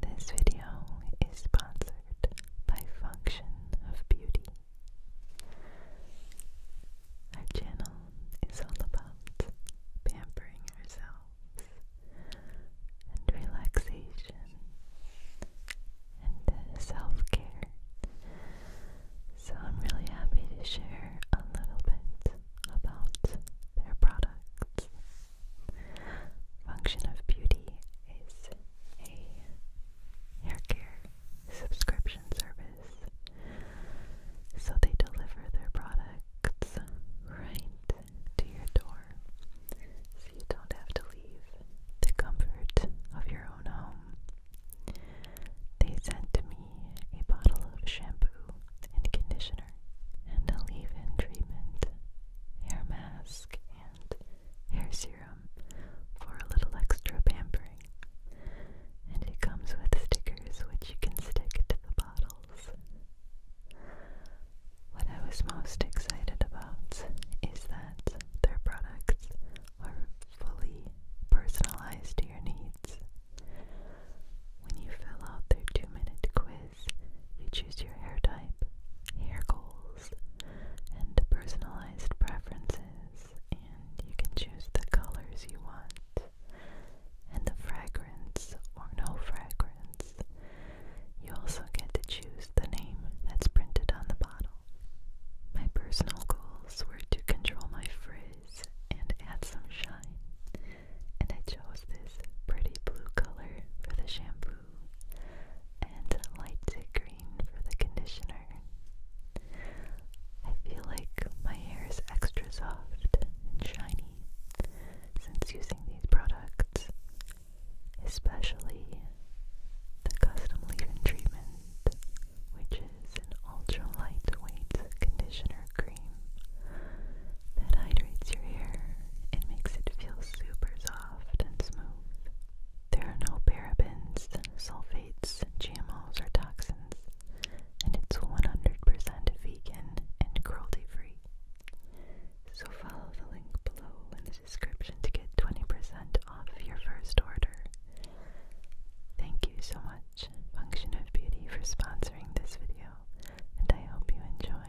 This video is sponsored by Function of Beauty. Our channel is all about pampering ourselves and relaxation and self-care. So I'm really happy to share a little bit about their products. Function of Beauty is a hair care subscription service, so they deliver their products right to your door so you don't have to leave the comfort of your own home. They sent me a bottle of shampoo and conditioner water, and a leave in treatment, hair mask, and hair serum for a little extra pampering. And it comes with stickers which you can stick to the bottles. What I was most excited about is that their products are fully personalized to your needs. When you fill out their two minute quiz, you choose your hair type, hair goals, and personalized preferences, and you can choose the colors you want, and the fragrance or no fragrance. You also get to choose the name that's printed on the bottle. My personal goals were to control my frizz and add some shine, and I chose this pretty blue color for the shampoo and light green for the conditioner. I feel like my hair is extra soft and shiny since using these products, especially the custom leave-in treatment, which is an ultra lightweight conditioner cream that hydrates your hair and makes it feel super soft and smooth. There are no parabens, sulfates, GMOs, or toxins, and it's 100% vegan and cruelty free. So follow the link below in the description to get 20% off your first order. Thank you so much, Function of Beauty, for sponsoring this video, and I hope you enjoy.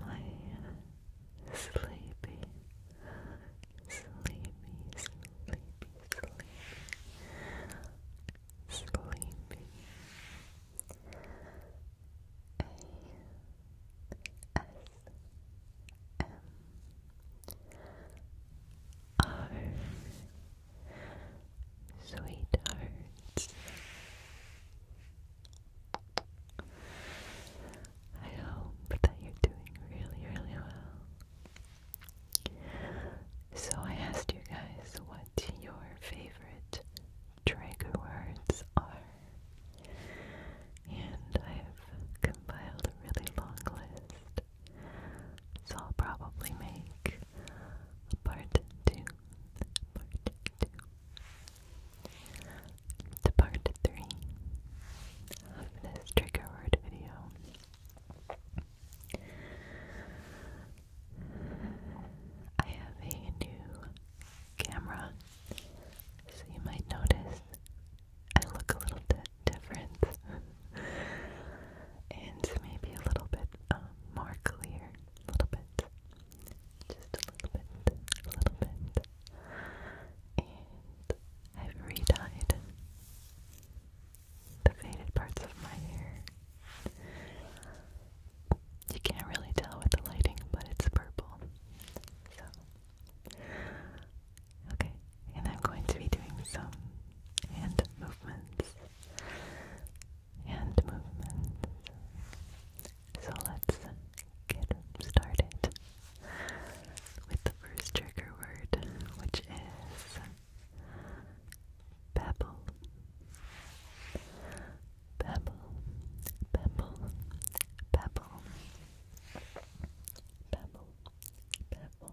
my sleepy, sleepy, sleepy, sleepy, sleepy. A S M R sweethearts. I hope that you're doing really, really well. So I asked you guys what your favorite trigger words are, and I have compiled a really long list. So I'll probably make a part two part two to part three of this trigger word video. I have a new camera, so you might notice I look a little bit different and maybe a little bit um, more clear, a little bit just a little bit, a little bit, and I've re the faded parts of my hair. You can't really tell with the lighting, but it's purple. So, okay, and I'm going to be doing some hand movements hand movements. So let's get started with the first trigger word, which is pebble. Pebble, pebble, pebble, pebble, pebble.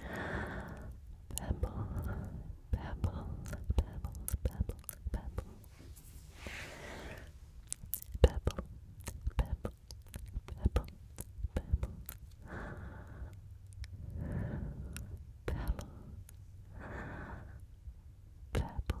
Pebble, pebble, pebble, pebble, pebble. Pebble, pebble, pebble, pebble. Pebble,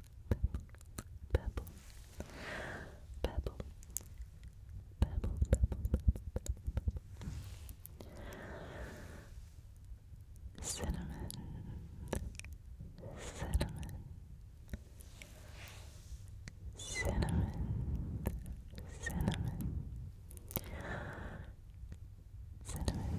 pebble, pebble, pebble, pebble, pebble, cinnamon, cinnamon, cinnamon, cinnamon. Cinnamon, cinnamon,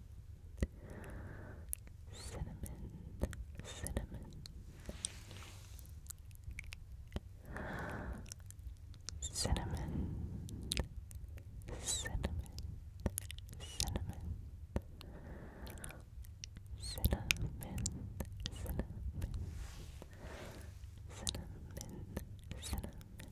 cinnamon, cinnamon, cinnamon, cinnamon, cinnamon, cinnamon, cinnamon. Cinnamon,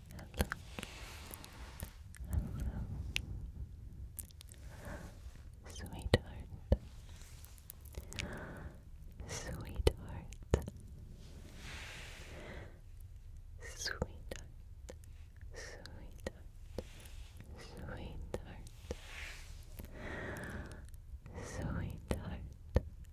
hello, hello, sweetheart, sweetheart, sweetheart, sweetheart, sweetheart, sweetheart. Sweetheart,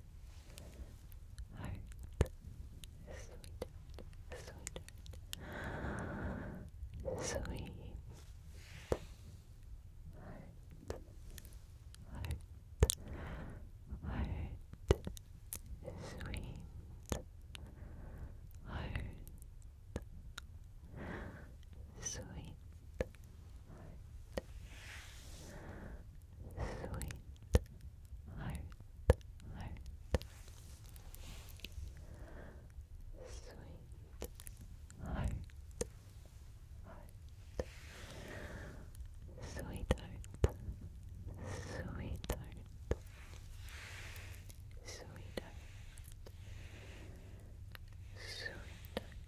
heart, sweet heart, sweet heart, heart, heart, sweet heart, sweet heart, sweet heart, heart, sweet heart, heart, sweetheart, sweetheart. Sweetheart, sweetheart,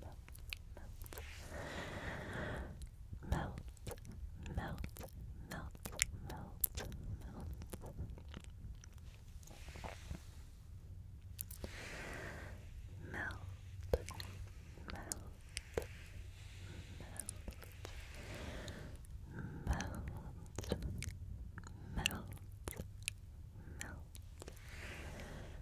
melt, melt, melt, melt, melt. Melt, melt, melt, melt, melt, melt,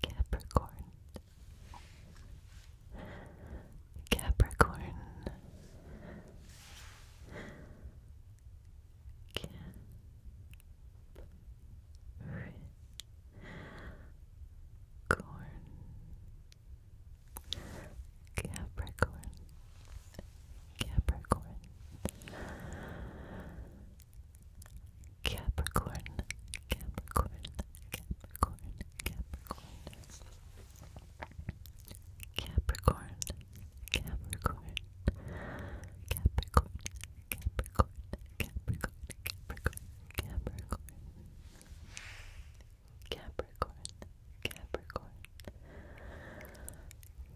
Capricorn Capricorn Cap Capricorn Capricorn Capricorn Capricorn Capricorn Capricorn Capricorn Capricorn Capricorn Capricorn Capricorn Capricorn Capricorn Capricorn Capricorn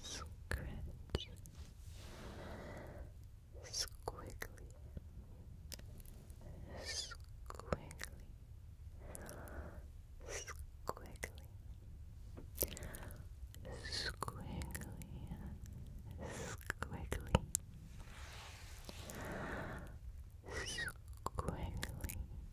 Scratch Squiggly Squiggly Squiggly Squiggly Squiggly Squiggly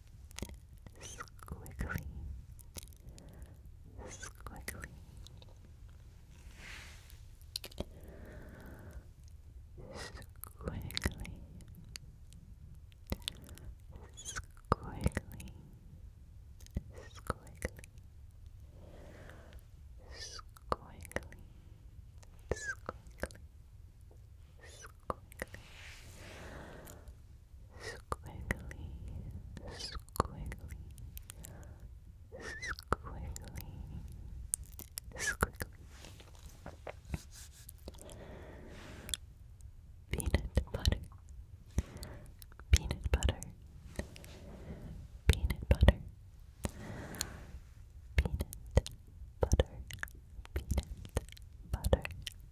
squiggly, squiggly, squiggly, squiggly, squiggly. Squiggly, squiggly, squiggly, squiggly, squiggly, squiggly, squiggly. Peanut butter, peanut butter, peanut butter, peanut butter, peanut butter,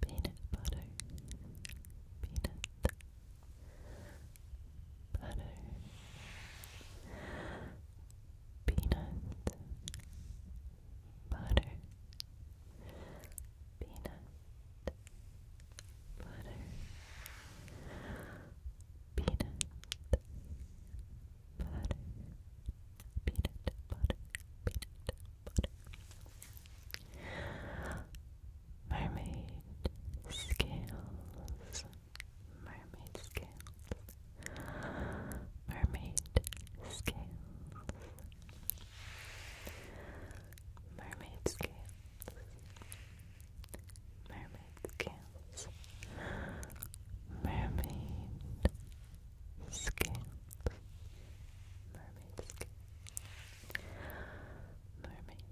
peanut butter, peanut butter, peanut butter, peanut butter, peanut butter, peanut butter, peanut Mermaid scales. Mermaid scales. Mermaid scales. Mermaid scales. Mermaid scales. Mermaid scales. Mermaid scales. Mermaid,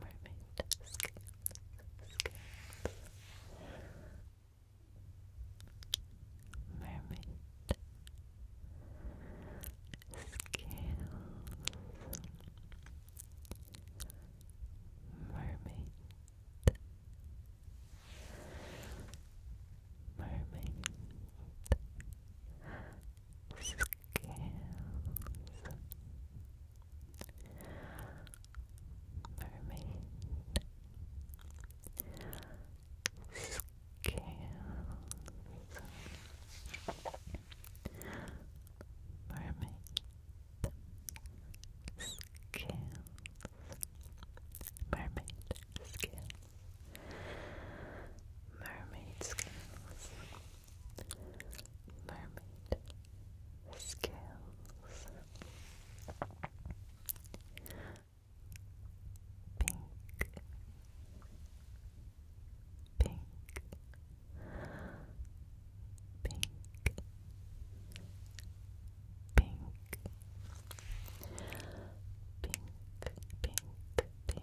mermaid scales, scales. Mermaid scales. Mermaid. Mermaid mermaid scales mermaid scales mermaid scales mermaid scales Mermaid scales. Mermaid scales. Pink. Pink. Pink. Pink. Pink. Pink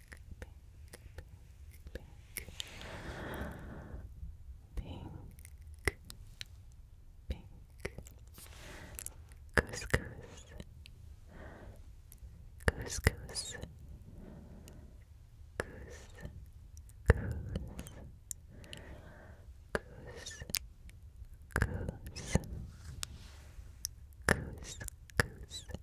pink, pink, pink, goose, goose, goose, goose, goose, goose. Goose, goose, goose, goose,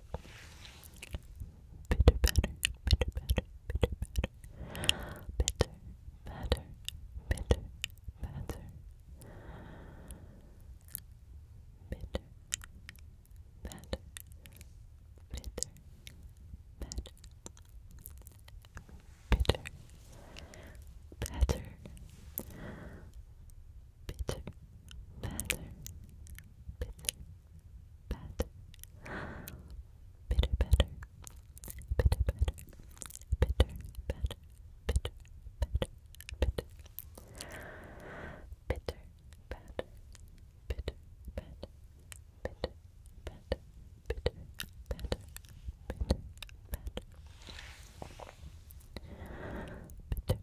good. Bitter better, bitter better, bitter better. Bitter better, bitter better. Bitter better, bitter better. Bitter better. Bitter better. Bitter Bad. Bitter better. Bitter better. Bitter better. Bitter better. Bitter. Bitter better. Bitter better. better. better. better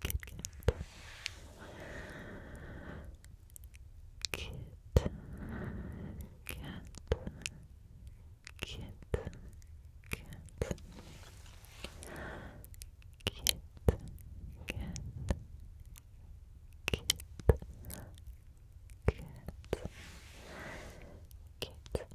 Kit Kat. Kit Kat. Kit Kat. Kit Kat. Kit Kat. Kit Kat. Kit Kat.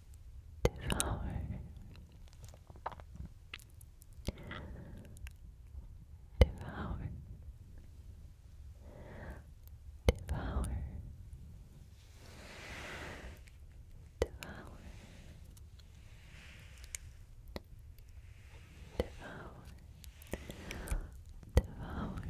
devour. Devour. Devour. Devour. Devour. Devour.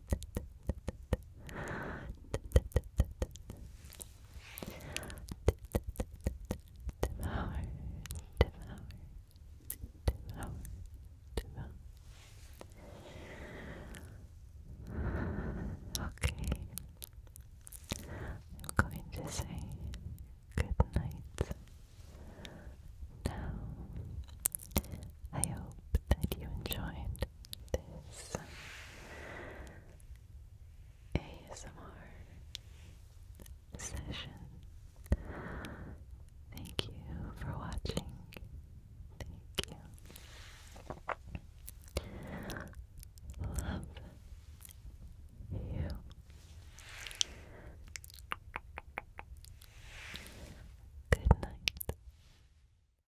Okay. I'm going to say good night. Now, I hope that you enjoyed this ASMR session. Thank you for watching. Thank you. Love you. Good night.